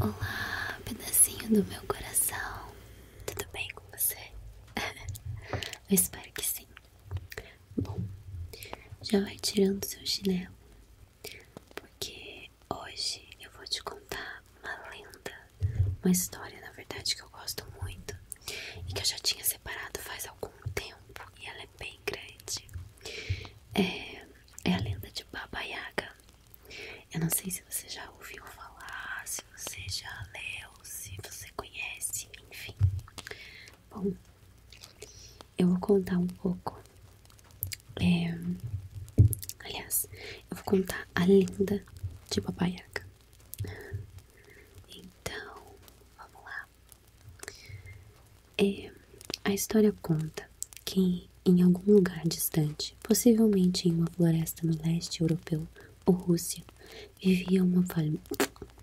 Olá, pedacinho do meu coração. Tudo bem com você? Eu espero que sim. Bom, já vai tirando seu chinelo, porque hoje eu vou te contar uma lenda, uma história, na verdade, que eu gosto muito e que eu já tinha separado faz algum tempo e ela é bem grande. É, é a lenda de Baba Yaga. Eu não sei se você já ouviu falar, se você já leu, se você conhece, enfim. Bom, eu vou contar um pouco. É, aliás, eu vou contar a lenda de Papai Então, vamos lá. É, a história conta que, em algum lugar distante, possivelmente em uma floresta no leste europeu ou Rússia, vivia uma,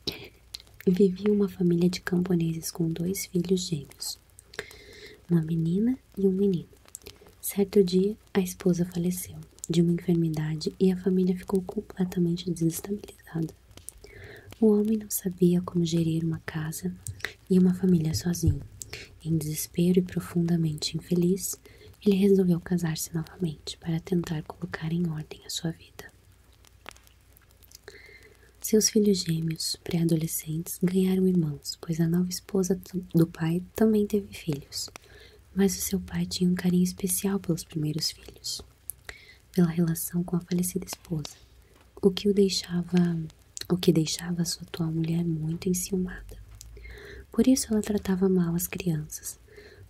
vivia uma família de camponeses com dois filhos gêmeos, uma menina e um menino. Certo dia, a esposa faleceu de uma enfermidade e a família ficou completamente desestabilizada. O homem não sabia como gerir uma casa e uma família sozinho. Em desespero e profundamente infeliz, ele resolveu casar-se novamente para tentar colocar em ordem a sua vida. Seus filhos gêmeos, pré-adolescentes, ganharam irmãos, pois a nova esposa do pai também teve filhos. Mas o seu pai tinha um carinho especial pelos primeiros filhos, pela relação com a falecida esposa, o que o deixava o que deixava sua atual mulher muito enciumada. Por isso ela tratava mal as crianças,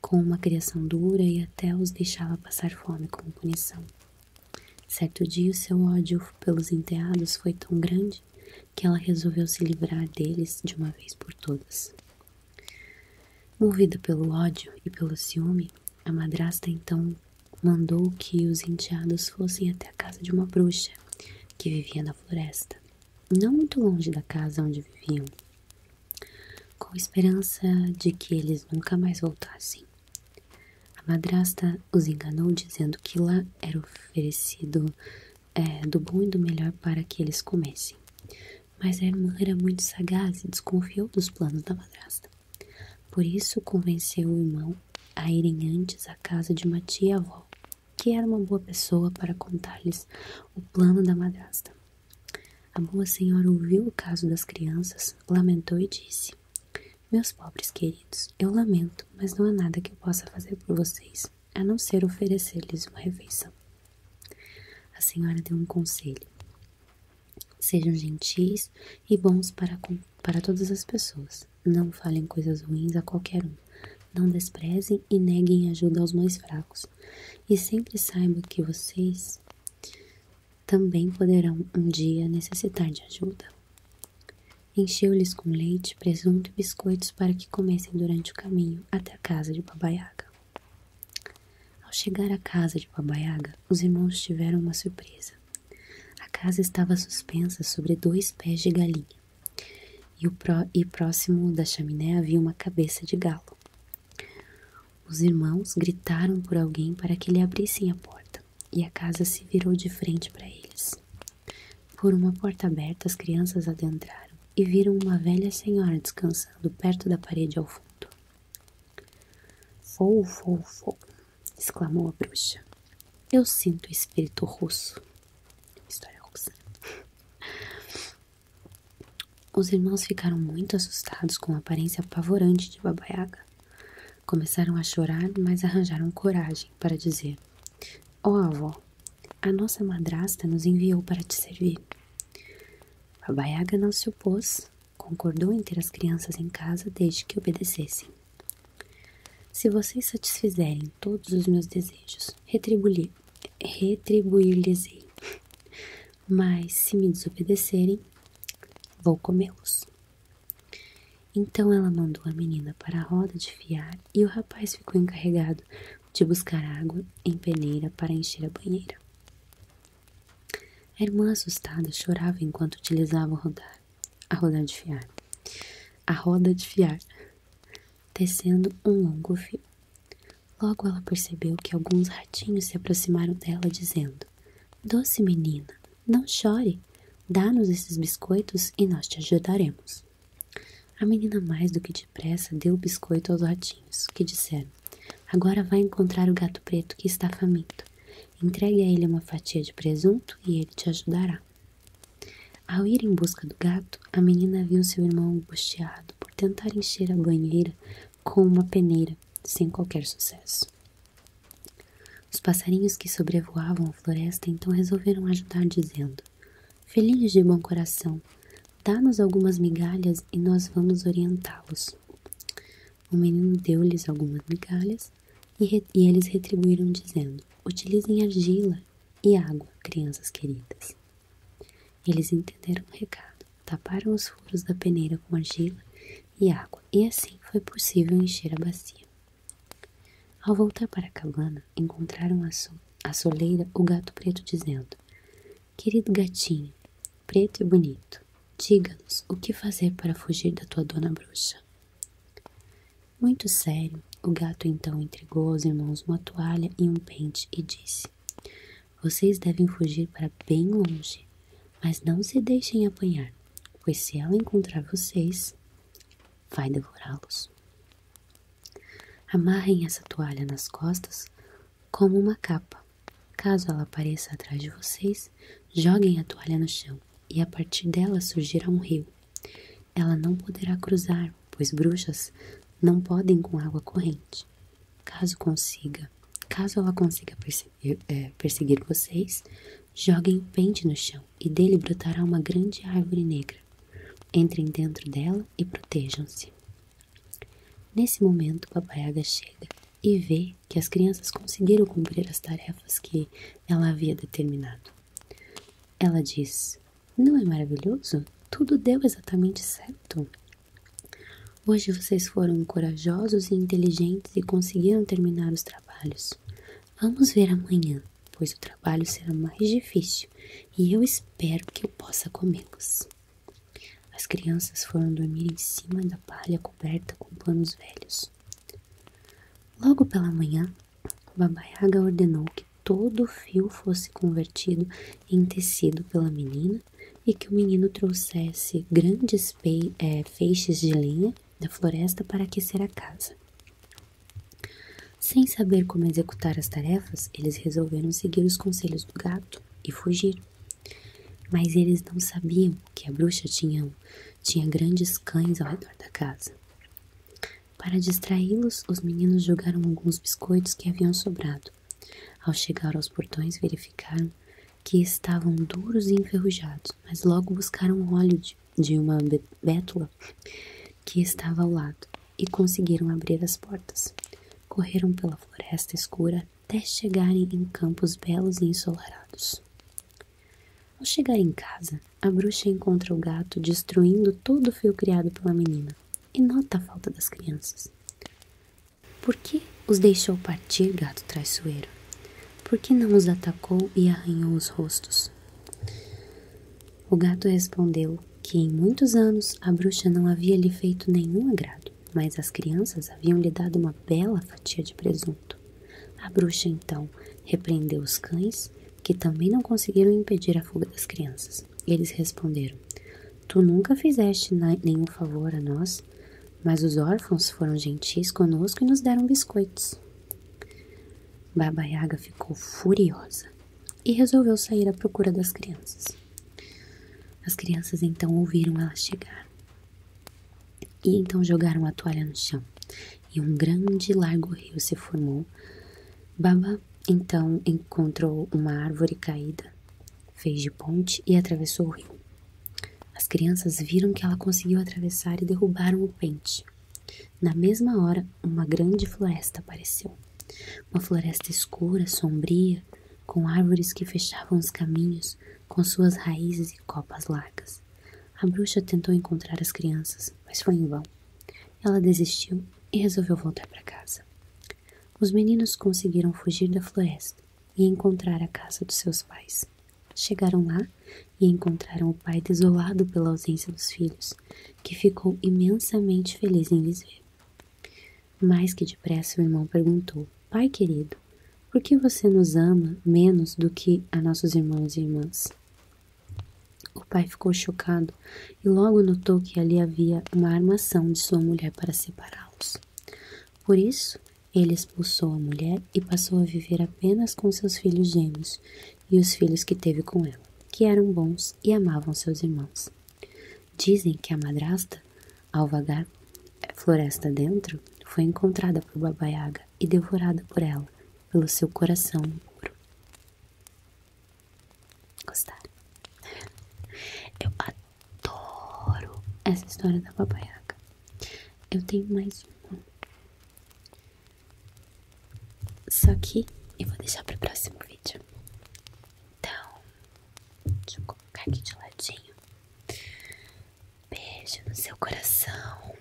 com uma criação dura e até os deixava passar fome como punição. Certo dia, seu ódio pelos enteados foi tão grande que ela resolveu se livrar deles de uma vez por todas. Movida pelo ódio e pelo ciúme, a madrasta então mandou que os enteados fossem até a casa de uma bruxa que vivia na floresta, não muito longe da casa onde viviam, com a esperança de que eles nunca mais voltassem. A madrasta os enganou dizendo que lá era oferecido é, do bom e do melhor para que eles comessem. Mas a irmã era muito sagaz e desconfiou dos planos da madrasta. Por isso convenceu o irmão a irem antes à casa de uma tia-avó que era uma boa pessoa para contar-lhes o plano da madrasta. A boa senhora ouviu o caso das crianças, lamentou e disse: Meus pobres queridos, eu lamento, mas não há nada que eu possa fazer por vocês, a não ser oferecer-lhes uma refeição. A senhora deu um conselho: Sejam gentis e bons para, para todas as pessoas, não falem coisas ruins a qualquer um. Não desprezem e neguem ajuda aos mais fracos. E sempre saibam que vocês também poderão um dia necessitar de ajuda. Encheu-lhes com leite, presunto e biscoitos para que comecem durante o caminho até a casa de Babaiaga. Ao chegar à casa de Babaiaga, os irmãos tiveram uma surpresa. A casa estava suspensa sobre dois pés de galinha, e, o e próximo da chaminé havia uma cabeça de galo. Os irmãos gritaram por alguém para que lhe abrissem a porta, e a casa se virou de frente para eles. Por uma porta aberta, as crianças adentraram e viram uma velha senhora descansando perto da parede ao fundo. Fou, fou, fou! exclamou a bruxa. Eu sinto o espírito russo História russa. Os irmãos ficaram muito assustados com a aparência apavorante de Babaiaga. Começaram a chorar, mas arranjaram coragem para dizer: Ó avó, a nossa madrasta nos enviou para te servir. Babaiaga não se opôs, concordou em ter as crianças em casa desde que obedecessem. Se vocês satisfizerem todos os meus desejos, retribuir lhes Mas se me desobedecerem, vou comê-los. Então ela mandou a menina para a roda de fiar e o rapaz ficou encarregado de buscar água em peneira para encher a banheira. A irmã assustada chorava enquanto utilizava o rodar a roda de fiar, a roda de fiar, tecendo um longo fio. Logo ela percebeu que alguns ratinhos se aproximaram dela, dizendo: Doce menina, não chore, dá-nos esses biscoitos e nós te ajudaremos. A menina, mais do que depressa, deu o biscoito aos ratinhos, que disseram: Agora vai encontrar o gato preto que está faminto. Entregue a ele uma fatia de presunto e ele te ajudará. Ao ir em busca do gato, a menina viu seu irmão angustiado por tentar encher a banheira com uma peneira, sem qualquer sucesso. Os passarinhos que sobrevoavam a floresta então resolveram ajudar, dizendo: "Felizes de bom coração, dá-nos algumas migalhas e nós vamos orientá-los. O menino deu-lhes algumas migalhas e, eles retribuíram dizendo: Utilizem argila e água, crianças queridas. Eles entenderam o recado, taparam os furos da peneira com argila e água, e assim foi possível encher a bacia. Ao voltar para a cabana, encontraram a, a soleira o gato preto dizendo: Querido gatinho, preto e bonito, diga-nos o que fazer para fugir da tua dona bruxa. Muito sério, o gato então entregou aos irmãos uma toalha e um pente e disse: Vocês devem fugir para bem longe, mas não se deixem apanhar, pois se ela encontrar vocês, vai devorá-los. Amarrem essa toalha nas costas como uma capa. Caso ela apareça atrás de vocês, joguem a toalha no chão e a partir dela surgirá um rio ela não poderá cruzar, pois bruxas não podem com água corrente. Caso consiga, caso ela consiga eh, eh, perseguir, vocês, joguem um pente no chão e dele brotará uma grande árvore negra. Entrem dentro dela e protejam-se. Nesse momento, Papai Yaga chega e vê que as crianças conseguiram cumprir as tarefas que ela havia determinado. Ela diz: Não é maravilhoso? Tudo deu exatamente certo. Hoje vocês foram corajosos e inteligentes e conseguiram terminar os trabalhos. Vamos ver amanhã, pois o trabalho será mais difícil e eu espero que eu possa comê-los. As crianças foram dormir em cima da palha coberta com panos velhos. Logo pela manhã, Baba Yaga ordenou que todo o fio fosse convertido em tecido pela menina e que o menino trouxesse grandes é, feixes de lenha da floresta para aquecer a casa. Sem saber como executar as tarefas, eles resolveram seguir os conselhos do gato e fugir. Mas eles não sabiam que a bruxa tinha grandes cães ao redor da casa. Para distraí-los, os meninos jogaram alguns biscoitos que haviam sobrado. Ao chegar aos portões, verificaram que estavam duros e enferrujados, mas logo buscaram óleo de uma betula que estava ao lado e conseguiram abrir as portas. Correram pela floresta escura até chegarem em campos belos e ensolarados. Ao chegar em casa, a bruxa encontra o gato destruindo todo o fio criado pela menina e nota a falta das crianças. Por que os deixou partir, gato traiçoeiro? Por que não os atacou e arranhou os rostos? O gato respondeu que em muitos anos a bruxa não havia lhe feito nenhum agrado, mas as crianças haviam lhe dado uma bela fatia de presunto. A bruxa então repreendeu os cães, que também não conseguiram impedir a fuga das crianças. Eles responderam: Tu nunca fizeste nenhum favor a nós, mas os órfãos foram gentis conosco e nos deram biscoitos. Baba Yaga ficou furiosa e resolveu sair à procura das crianças. As crianças então ouviram ela chegar e então jogaram a toalha no chão e um grande e largo rio se formou. Baba então encontrou uma árvore caída, fez de ponte e atravessou o rio. As crianças viram que ela conseguiu atravessar e derrubaram o pente. Na mesma hora, uma grande floresta apareceu. Uma floresta escura, sombria, com árvores que fechavam os caminhos com suas raízes e copas largas. A bruxa tentou encontrar as crianças, mas foi em vão. Ela desistiu e resolveu voltar para casa. Os meninos conseguiram fugir da floresta e encontrar a casa dos seus pais. Chegaram lá e encontraram o pai desolado pela ausência dos filhos, que ficou imensamente feliz em lhes ver. Mais que depressa, o irmão perguntou: Pai querido, por que você nos ama menos do que a nossos irmãos e irmãs? O pai ficou chocado e logo notou que ali havia uma armação de sua mulher para separá-los. Por isso, ele expulsou a mulher e passou a viver apenas com seus filhos gêmeos e os filhos que teve com ela, que eram bons e amavam seus irmãos. Dizem que a madrasta, ao vagar floresta dentro, foi encontrada por Baba Yaga e devorada por ela, pelo seu coração puro. Gostaram? Eu adoro essa história da babaiaca. Eu tenho mais uma. Só que eu vou deixar para o próximo vídeo. Então, deixa eu colocar aqui de ladinho. Beijo no seu coração.